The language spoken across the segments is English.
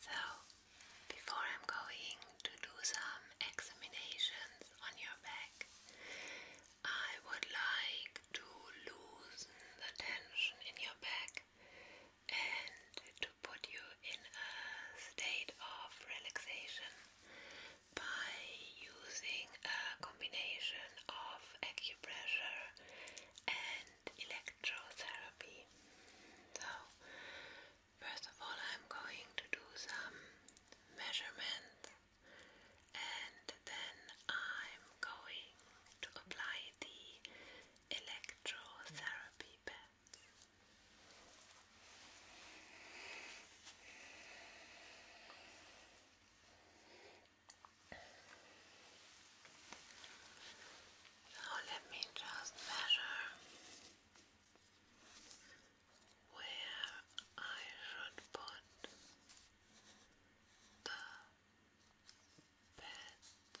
So, before I'm going to do some examinations on your back, I would like to loosen the tension in your back and to put you in a state of relaxation by using a combination of acupressure and electrotherapy. So, first of all, I'm going to do some measurements and then I'm going to apply the electrotherapy pads. Now let me just measure where I should put the beds.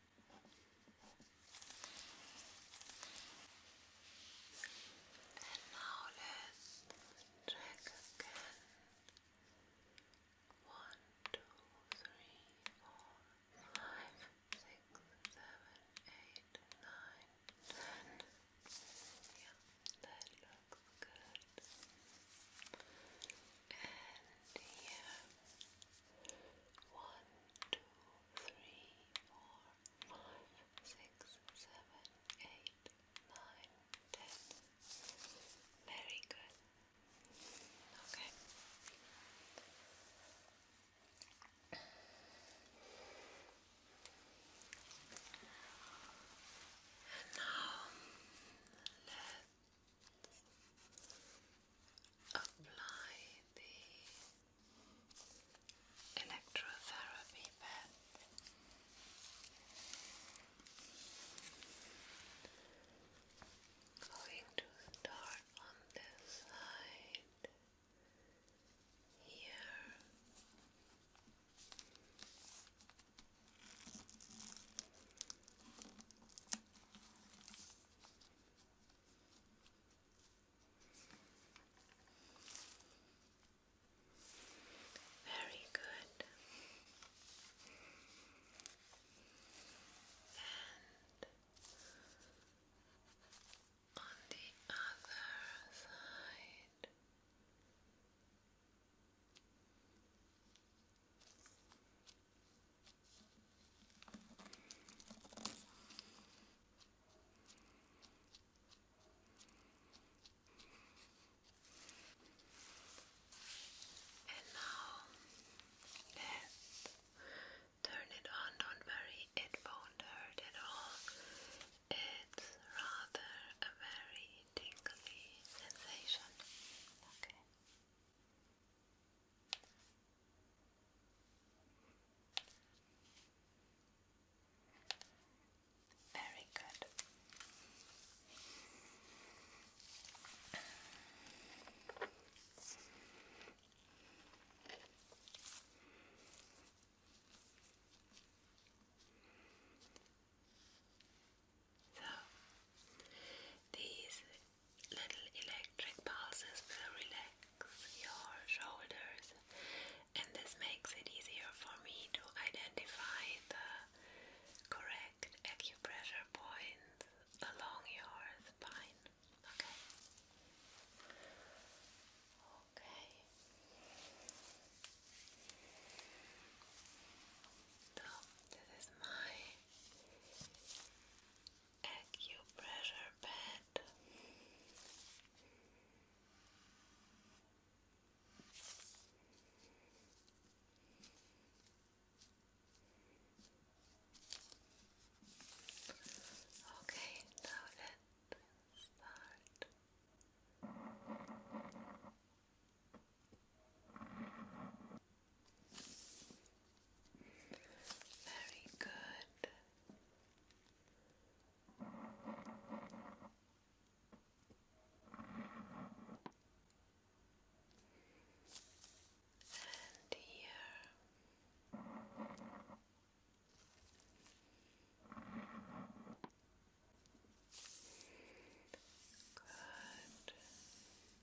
And now let's check again. One, two, three, four, five, six, seven, eight, nine, ten. that looks good. And here. One, two, three, four, five, six, seven, eight, nine, ten. Very good. Okay. And now let apply the electrotherapy pad going to start on this side here very good. And on the other side. And now let's turn it on. Don't worry, it won't hurt at all. It's rather a very tingly sensation. Okay. Very good. So, these little electric pulses will relax your shoulders, and this makes it easier for me to identify the correct acupressure point along your spine. Okay. Okay. this is my acupressure pad. Okay, let's start. Very good. And here. Good.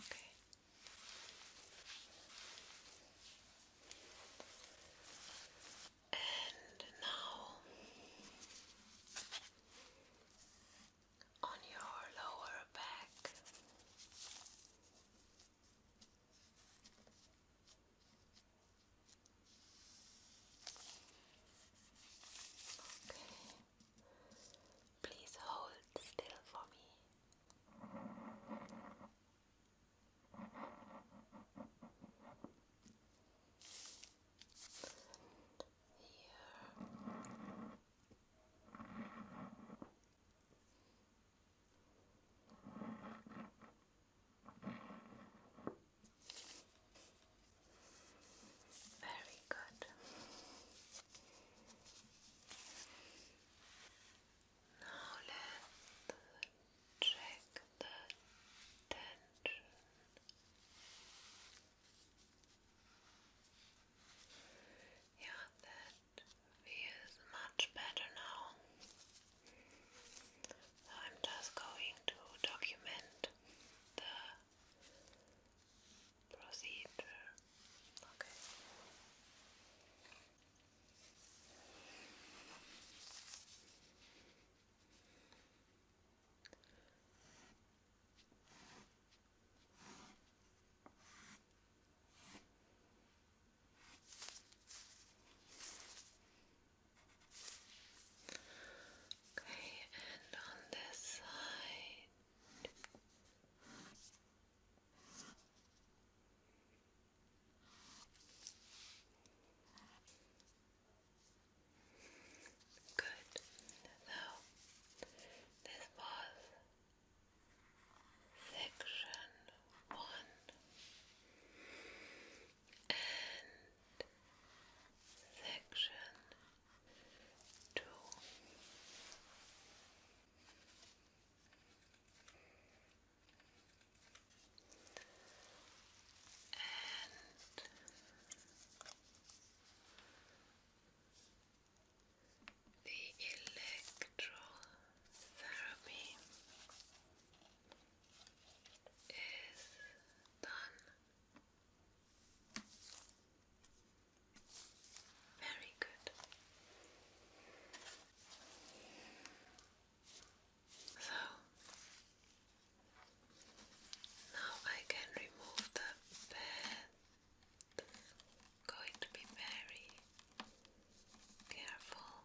Okay. And now on your lower back. Okay. Please hold still for me. Here. Very good. Now let's check the tension. Yeah, that feels much better now. I'm just going to document the procedure. Okay. Okay, and on this side. Good. So this was section one and section two. And the electrotherapy is done. Very good. So now I can remove the bed. Going to be very careful.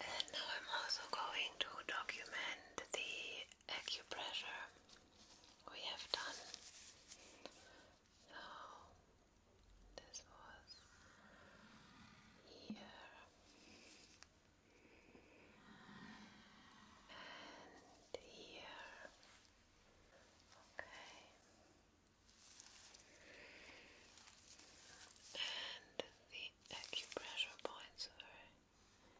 And now I'm also going to document the acupressure we have done. So this was here. And here. Okay. And the acupressure points are here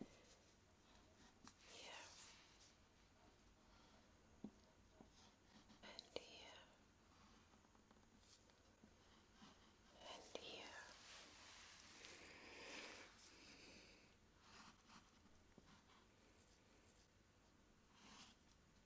and here and here.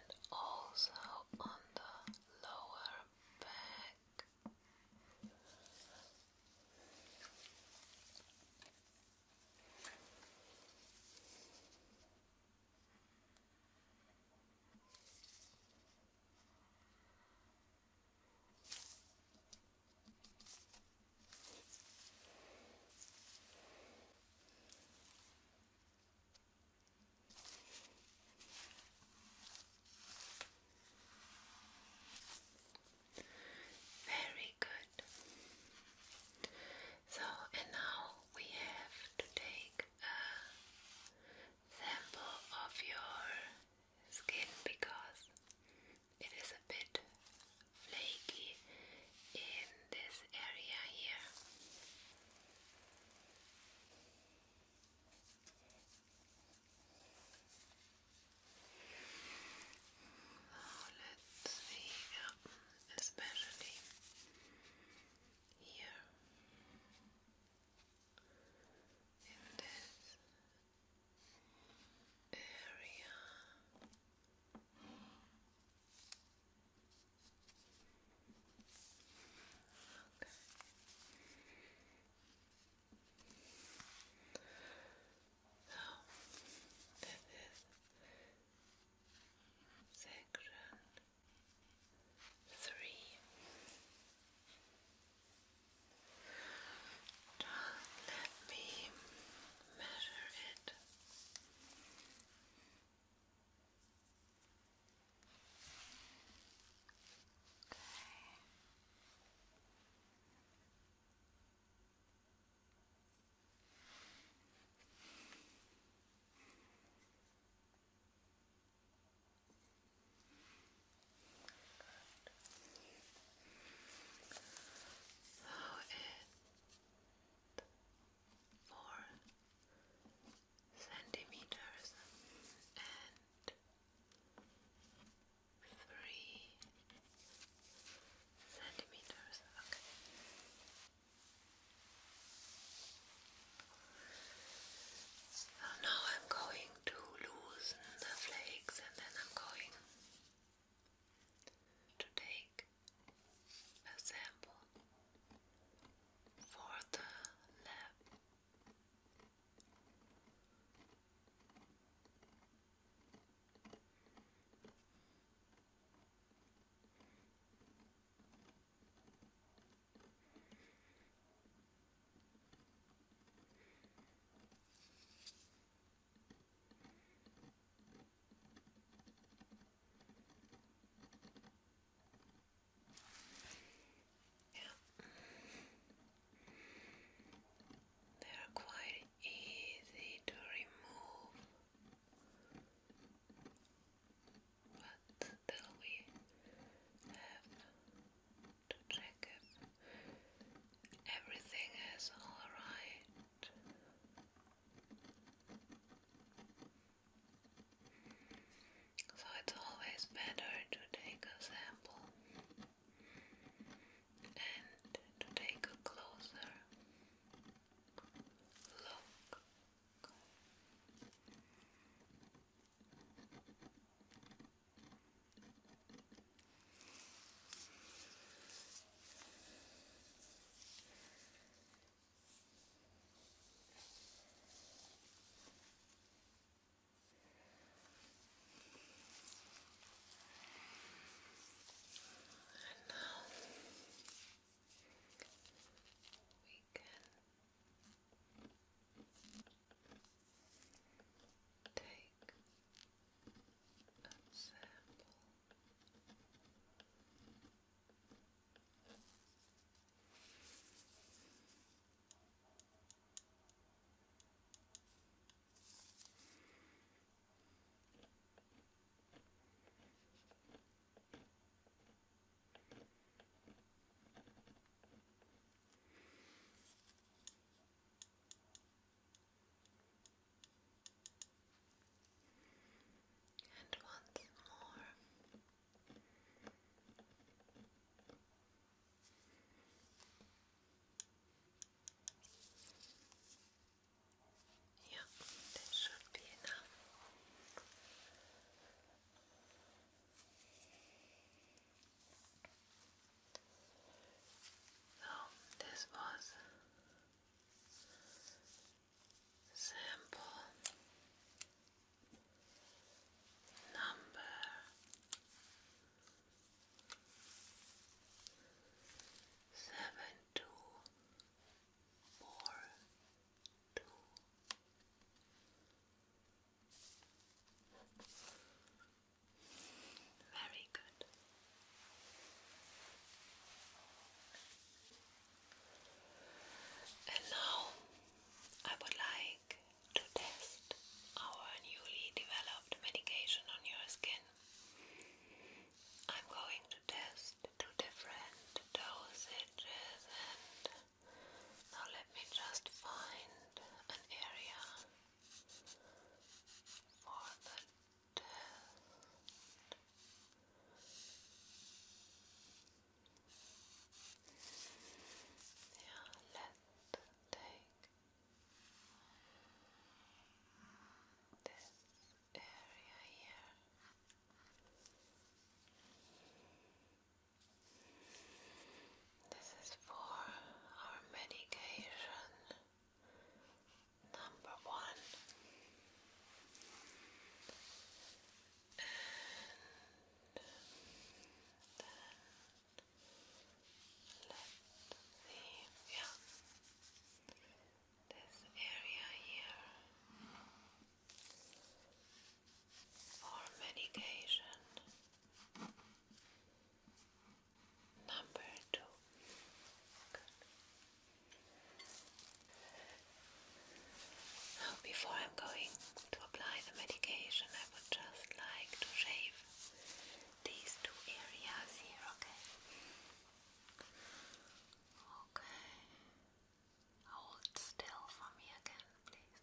and also on the lower back. Very good. So, and now we have to take a sample of your skin because it is a bit flaky in this area here. Oh, let's see, yeah, um, especially here in this area. Okay. section three. Just let me measure it. Okay. Though it four centimeters and three centimeters. Okay. now I'm going to loosen the flakes and then I'm going to take a sample for the lab. Yeah. They are quite easy to remove, but still we have to check if everything is all right. So it's always better to take a sample and to take a closer look. And now we can take ensemble. Now and once more. Yeah, that should be enough. So this was sample number seven two four two. Very good. And now I would like to test our newly developed medication on your skin. I'm going to test two different dosages and now let me just find an area for the test. Yeah, let's take this area here. This is for our medication number one, and let's yeah, this area here for medication. Number two. Now, before I'm going to apply the medication, I would just like to shave these two areas here, okay? Okay. Hold still for me again, please.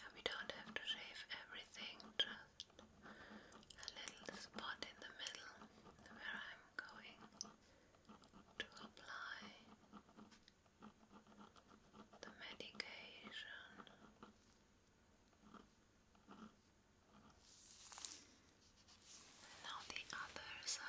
Yeah, we don't have to shave everything, just a little spot in the middle where I'm going to apply the medication. And now the other side.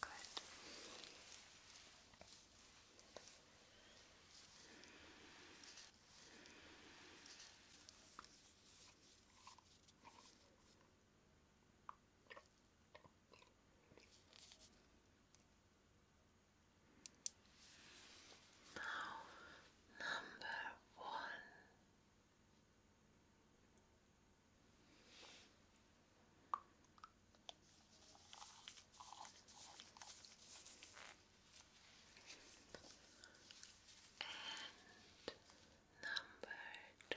Good. Now, number one. And number two. Good.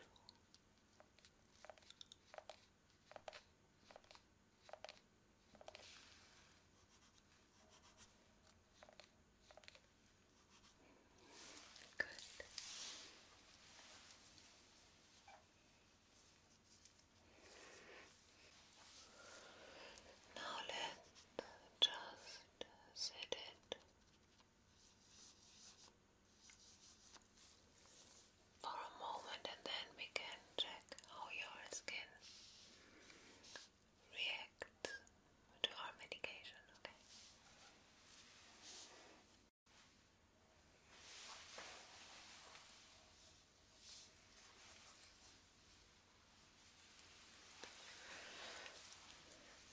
Now let's just sit it for a moment and then we can check how your skin reacts to our medication, okay?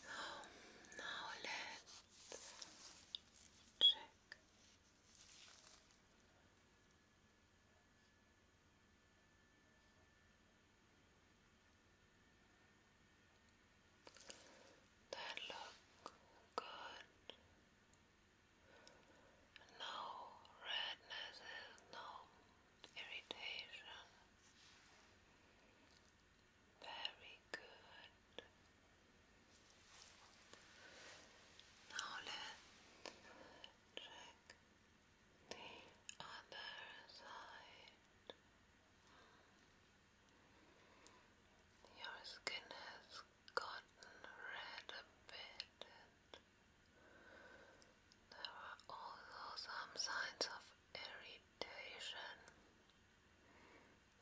Oh, now let's check. That look good no rednesses, no irritation. Very good. Now let's check the other side. Your skin has gotten rid a bit, there are also some signs of irritation.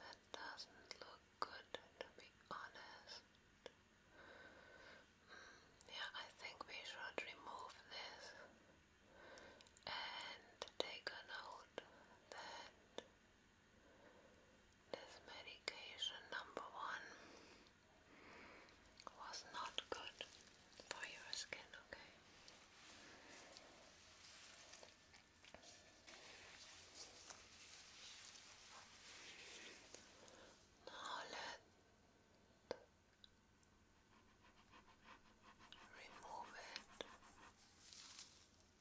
That doesn't look good, to be honest. Mm, yeah, I think we should remove this and take note that this medication, number one, was not good for your skin, okay? Now let remove it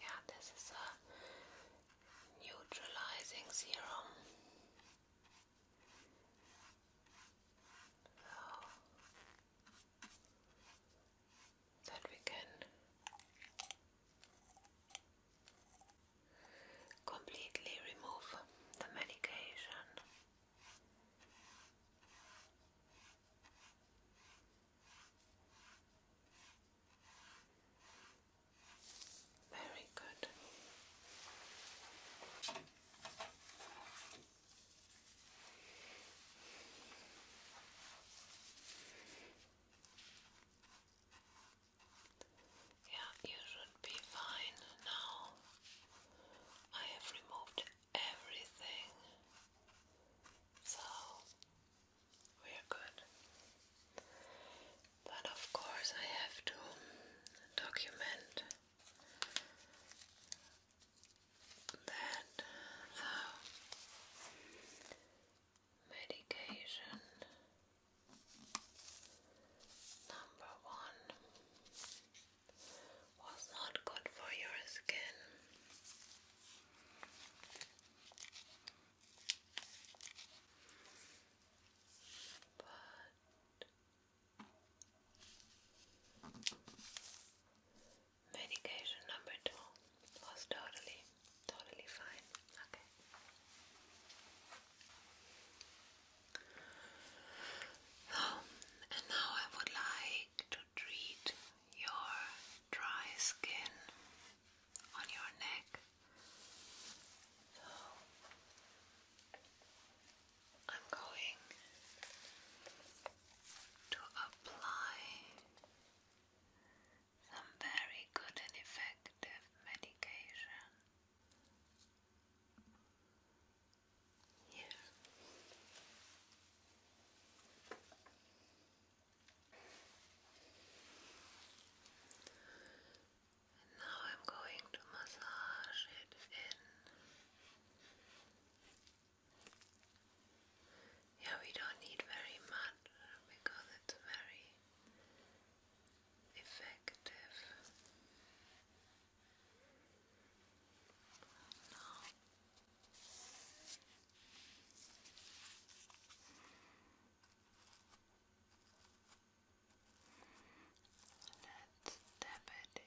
Yeah, this is a neutralizing serum. So that we can completely remove the medication. Very good. Yeah, you should be fine now. I have removed everything, so we are good. But of course, I have to document that the medication number one was not good for your skin. But medication number two was totally Totally fine. Okay. Um, and now I would like to treat your dry skin on your neck. So I'm going to apply some very good and effective medication. Here. now I'm going to massage it in. Yeah, we don't need very much because it's very effective. Let's tap it in.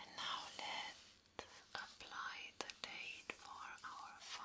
And now let's apply the date for our file.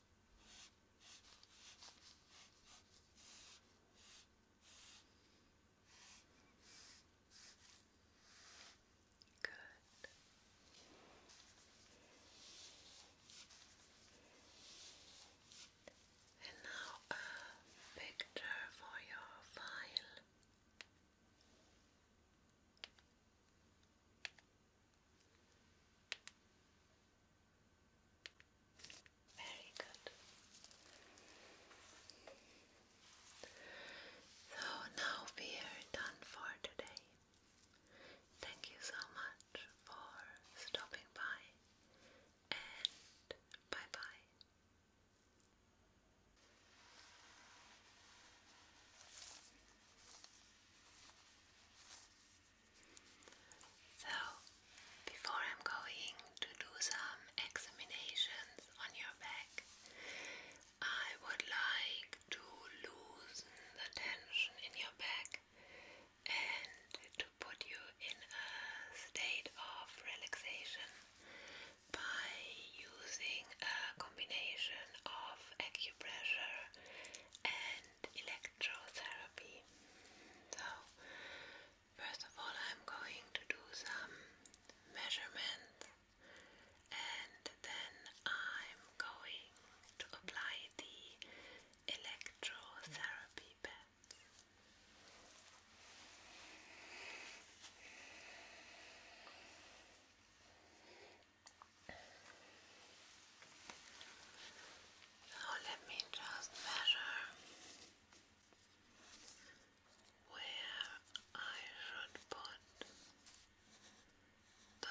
Good. And now a picture for your file. Very good. So now we are done for today. Thank you so much for stopping by and bye bye. So, before I'm going to do some examinations on your back, I would like to loosen the tension in your back and to put you in a state of relaxation by using a combination of acupressure and electrotherapy. So, first of all, I'm going to do some measurements and then I'm going to apply the electrotherapy pads. Now let me just measure where I should put the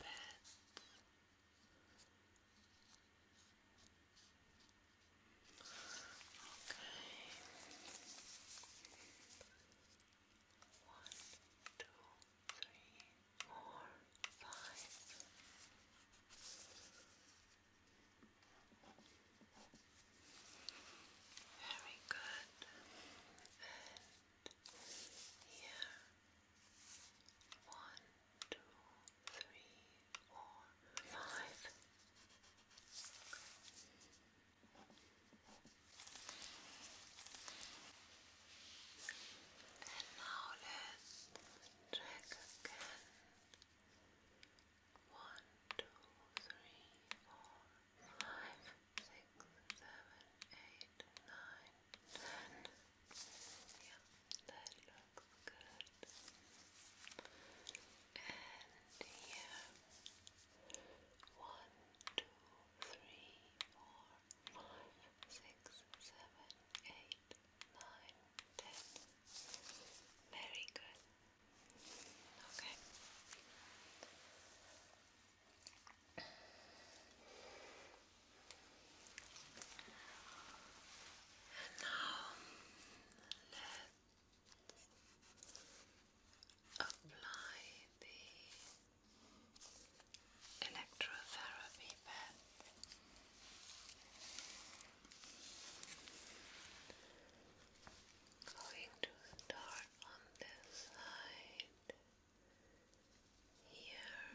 pets. Okay. One, two, three, four, five. Very good. And here, one, two, three, four, five. And now let's check again. One, two, three, four, five, six, seven, eight, nine, ten. Yeah, that looks good. And here. One, two, three, four, five, six, seven, eight, nine, ten. Very good. Okay. And now let's apply the electrotherapy bed. Going to start on this side here.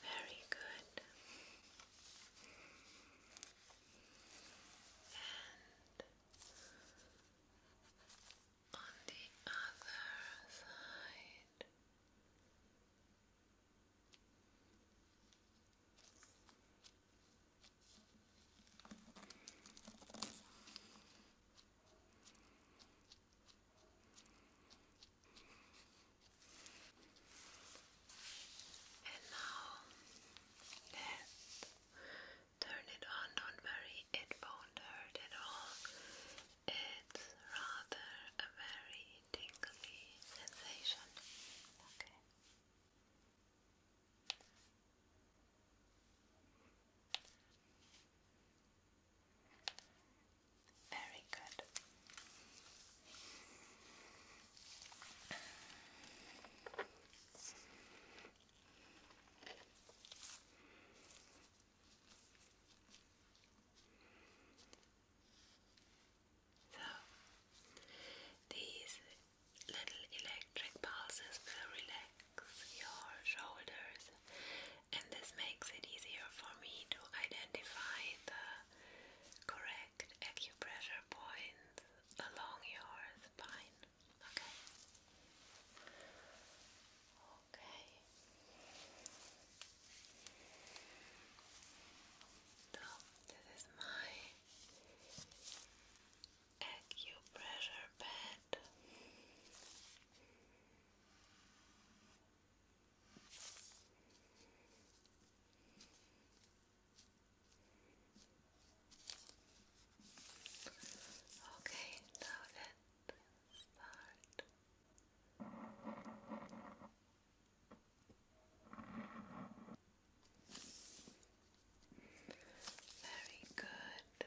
Very good. And on the other side. And now let's turn it on. Don't worry, it won't hurt at all. It's rather a very tingly sensation. Okay. Very good. So, these little electric pulses will relax your shoulders, and this makes it easier for me to identify the correct acupressure point along your spine. Okay. Okay. So this is my acupressure pad. Okay, now let's start. Very good.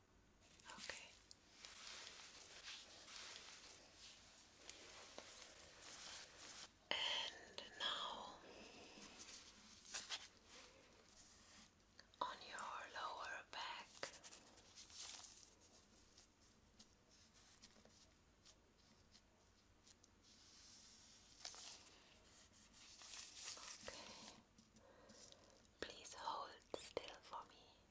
Okay. And now on your lower back. Okay. Please hold still for me.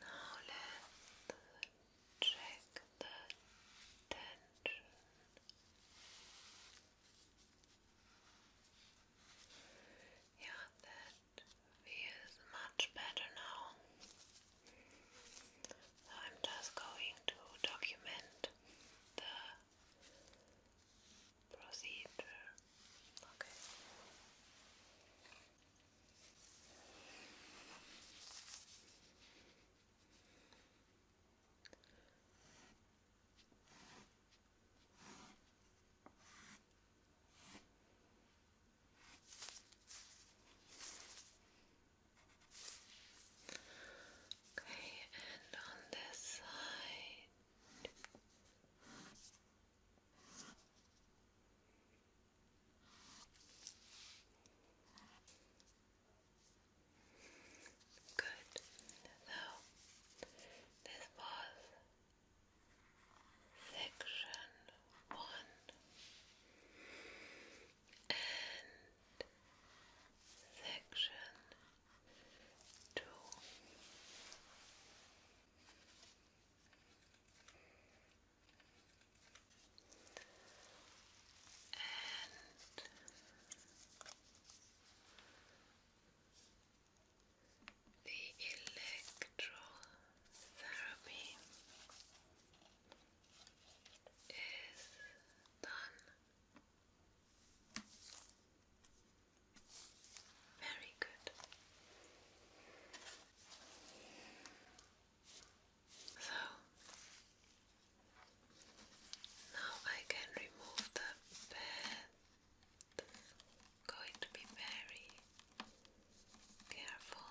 Now let's check the tension. Yeah, that feels much better now. I'm just going to document the procedure. Okay. Okay, and on this side. Good. So this was section one and section two. And the electrotherapy is done. Very good. So now I can remove the bed. Going to be very careful.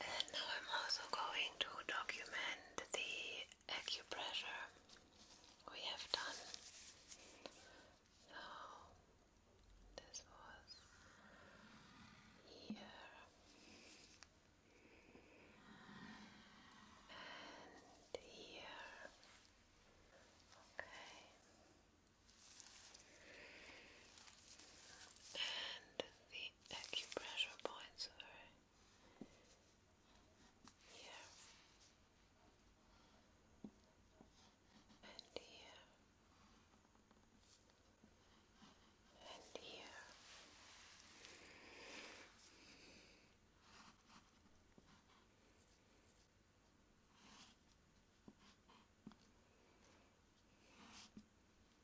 And now I'm also going to document the acupressure we have done. So this was here. And here. Okay. And the acupressure points, sorry here and here and here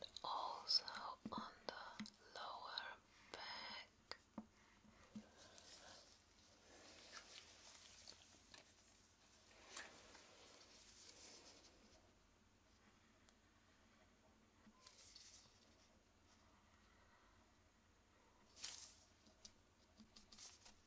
and also on the lower back.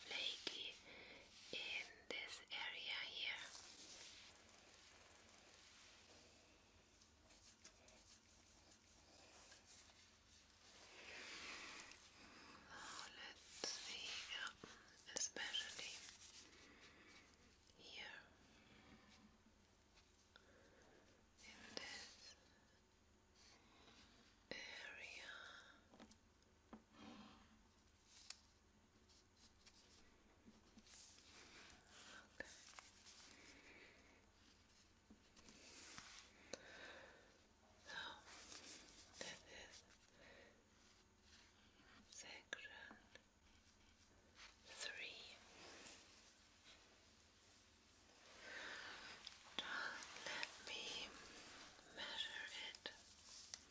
flaky in this area here. Ah, let's see, especially here in this area. Okay. So this is three. let me measure it. Oh,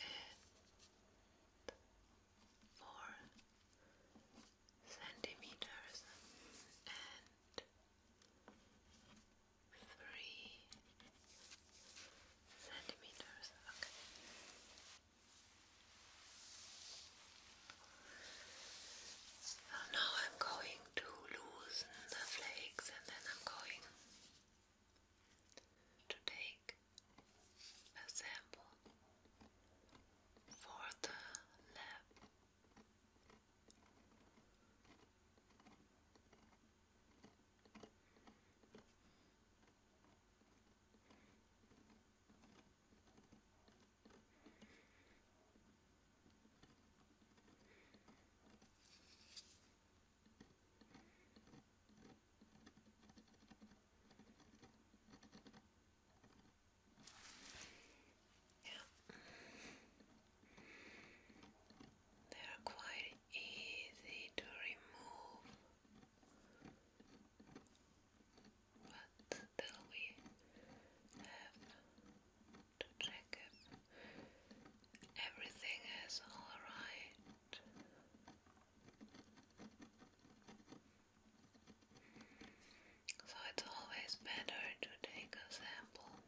it centimeters and three centimeters. Okay. So now I'm going to loosen the flakes and then I'm going to take a sample for the lab. Yeah. They are quite easy to remove, but still we have to check if everything is all right. So it's always better to take a sample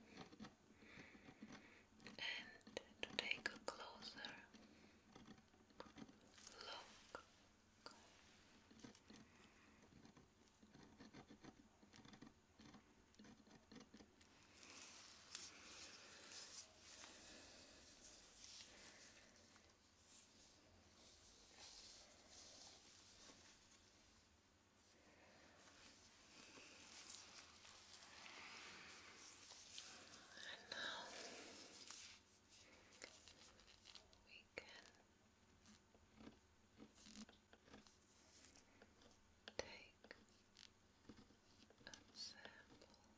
and to take a closer look. And now we can take a sample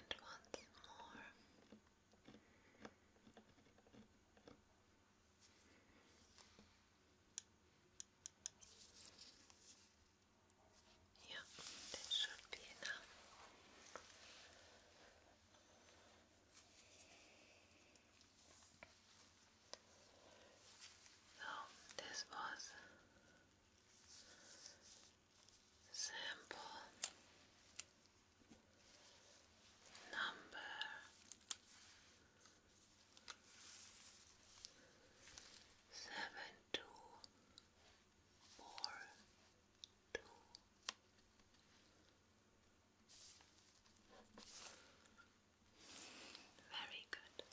And once more. Yeah, this should be enough. So, this was Sample number seven two four two. Very good.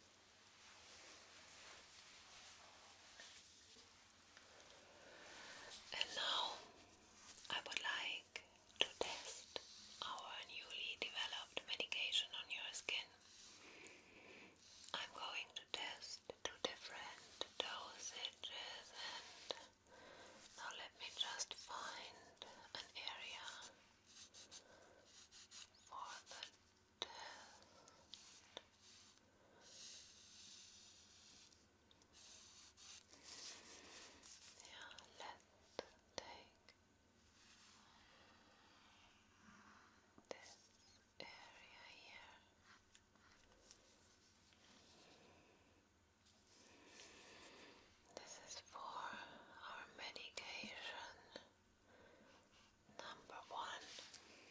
And now I would like to test our newly developed medication on your skin. I'm going to test two different dosages and now let me just find an area for the let's take this area here. This is for our medication number one let's see,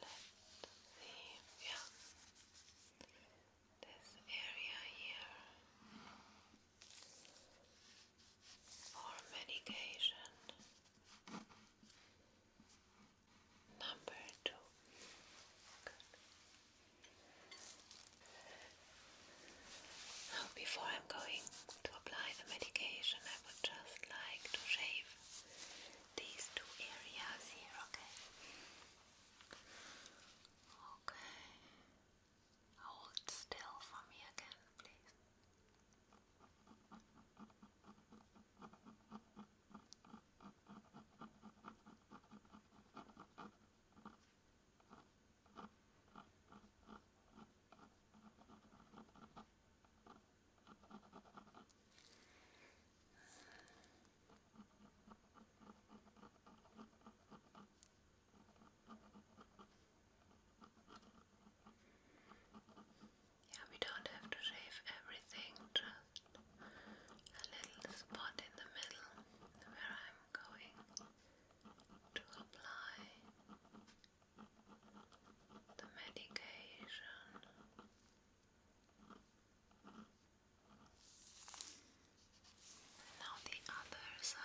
yeah this area here for medication number two now, before I'm going to apply the medication, I would just like to shave these two areas here, okay? Okay. Hold still for me again, please. Okay. Yeah, we don't have to shave everything, just a little spot in the middle where I'm going to apply the medication. Now the other side.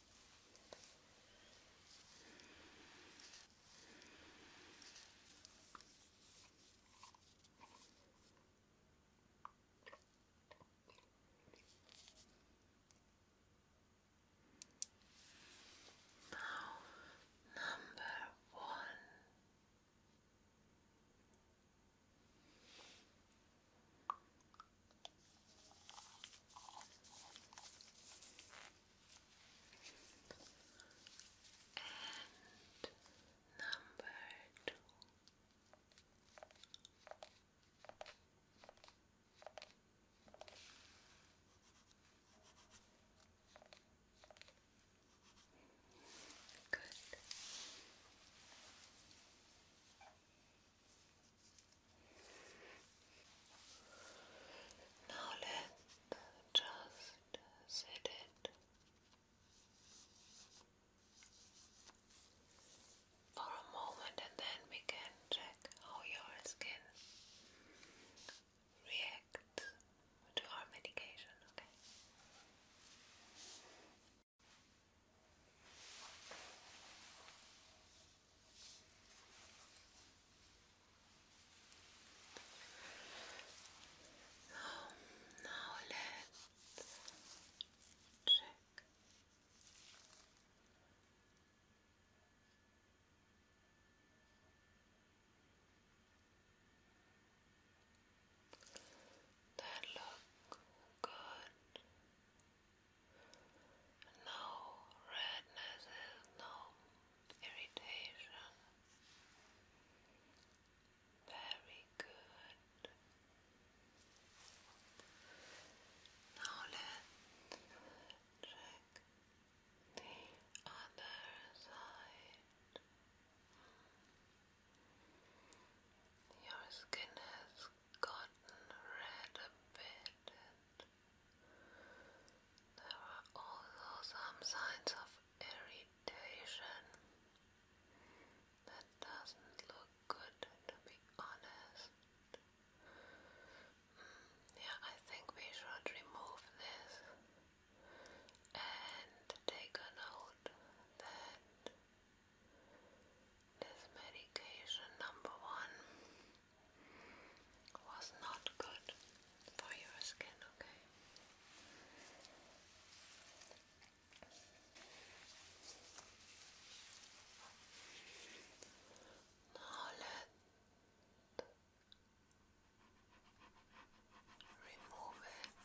Now, number one. And number two. Good. Now let just sit it for a moment and then we can check how your skin reacts to our medication, okay? Oh, now let's check. That look good no rednesses, no irritation. Very good. Now let's check the other side. Your skin has gotten red a bit, there are also some signs of irritation. That doesn't look good, to be honest. Mm, yeah, I think we should remove this and take a note that. This medication number one was not good for your skin, okay? Now let remove it.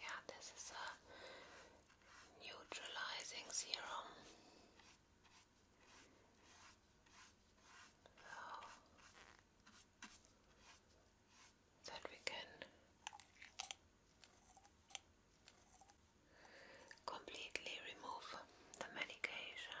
Yeah, this is a neutralizing serum. that we can completely remove the medication.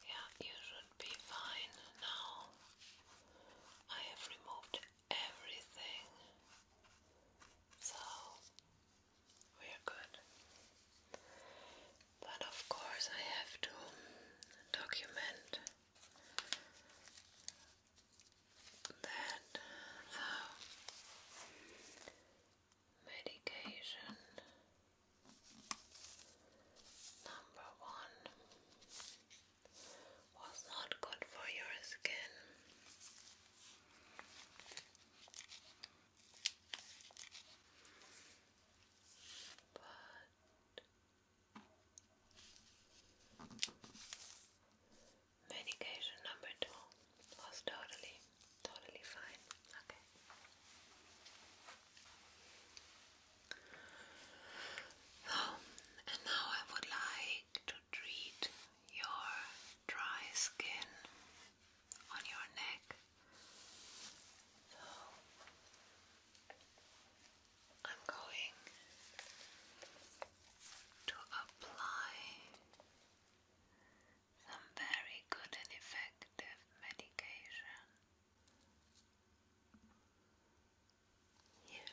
Yeah, you should be fine now. I have removed everything. So we are good. But of course, I have to document that uh, medication number one was not good for your skin. But medication number two was totally, totally fine. Okay. So, and now I would like to treat your dry skin on your neck. So, I'm going to apply some very good and effective medication here. And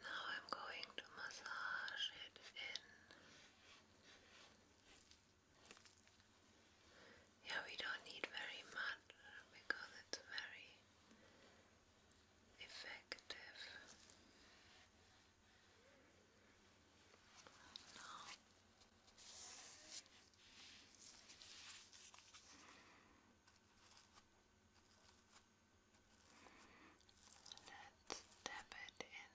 now I'm going to massage it in. Yeah, we don't need very much because it's very effective. No. Let's dab it in.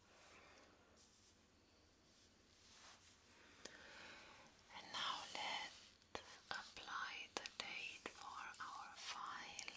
And now let's apply the date for our file.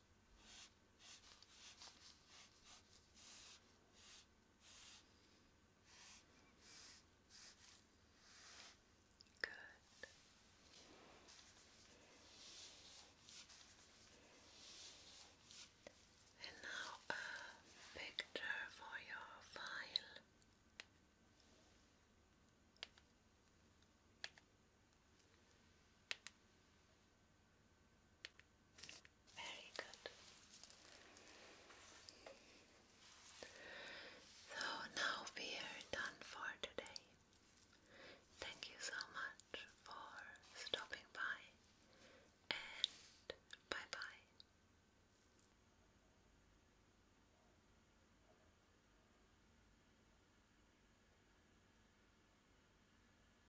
Good. And now a picture for your file. Very good. So now we are done for today. Thank you so much for stopping by and bye bye.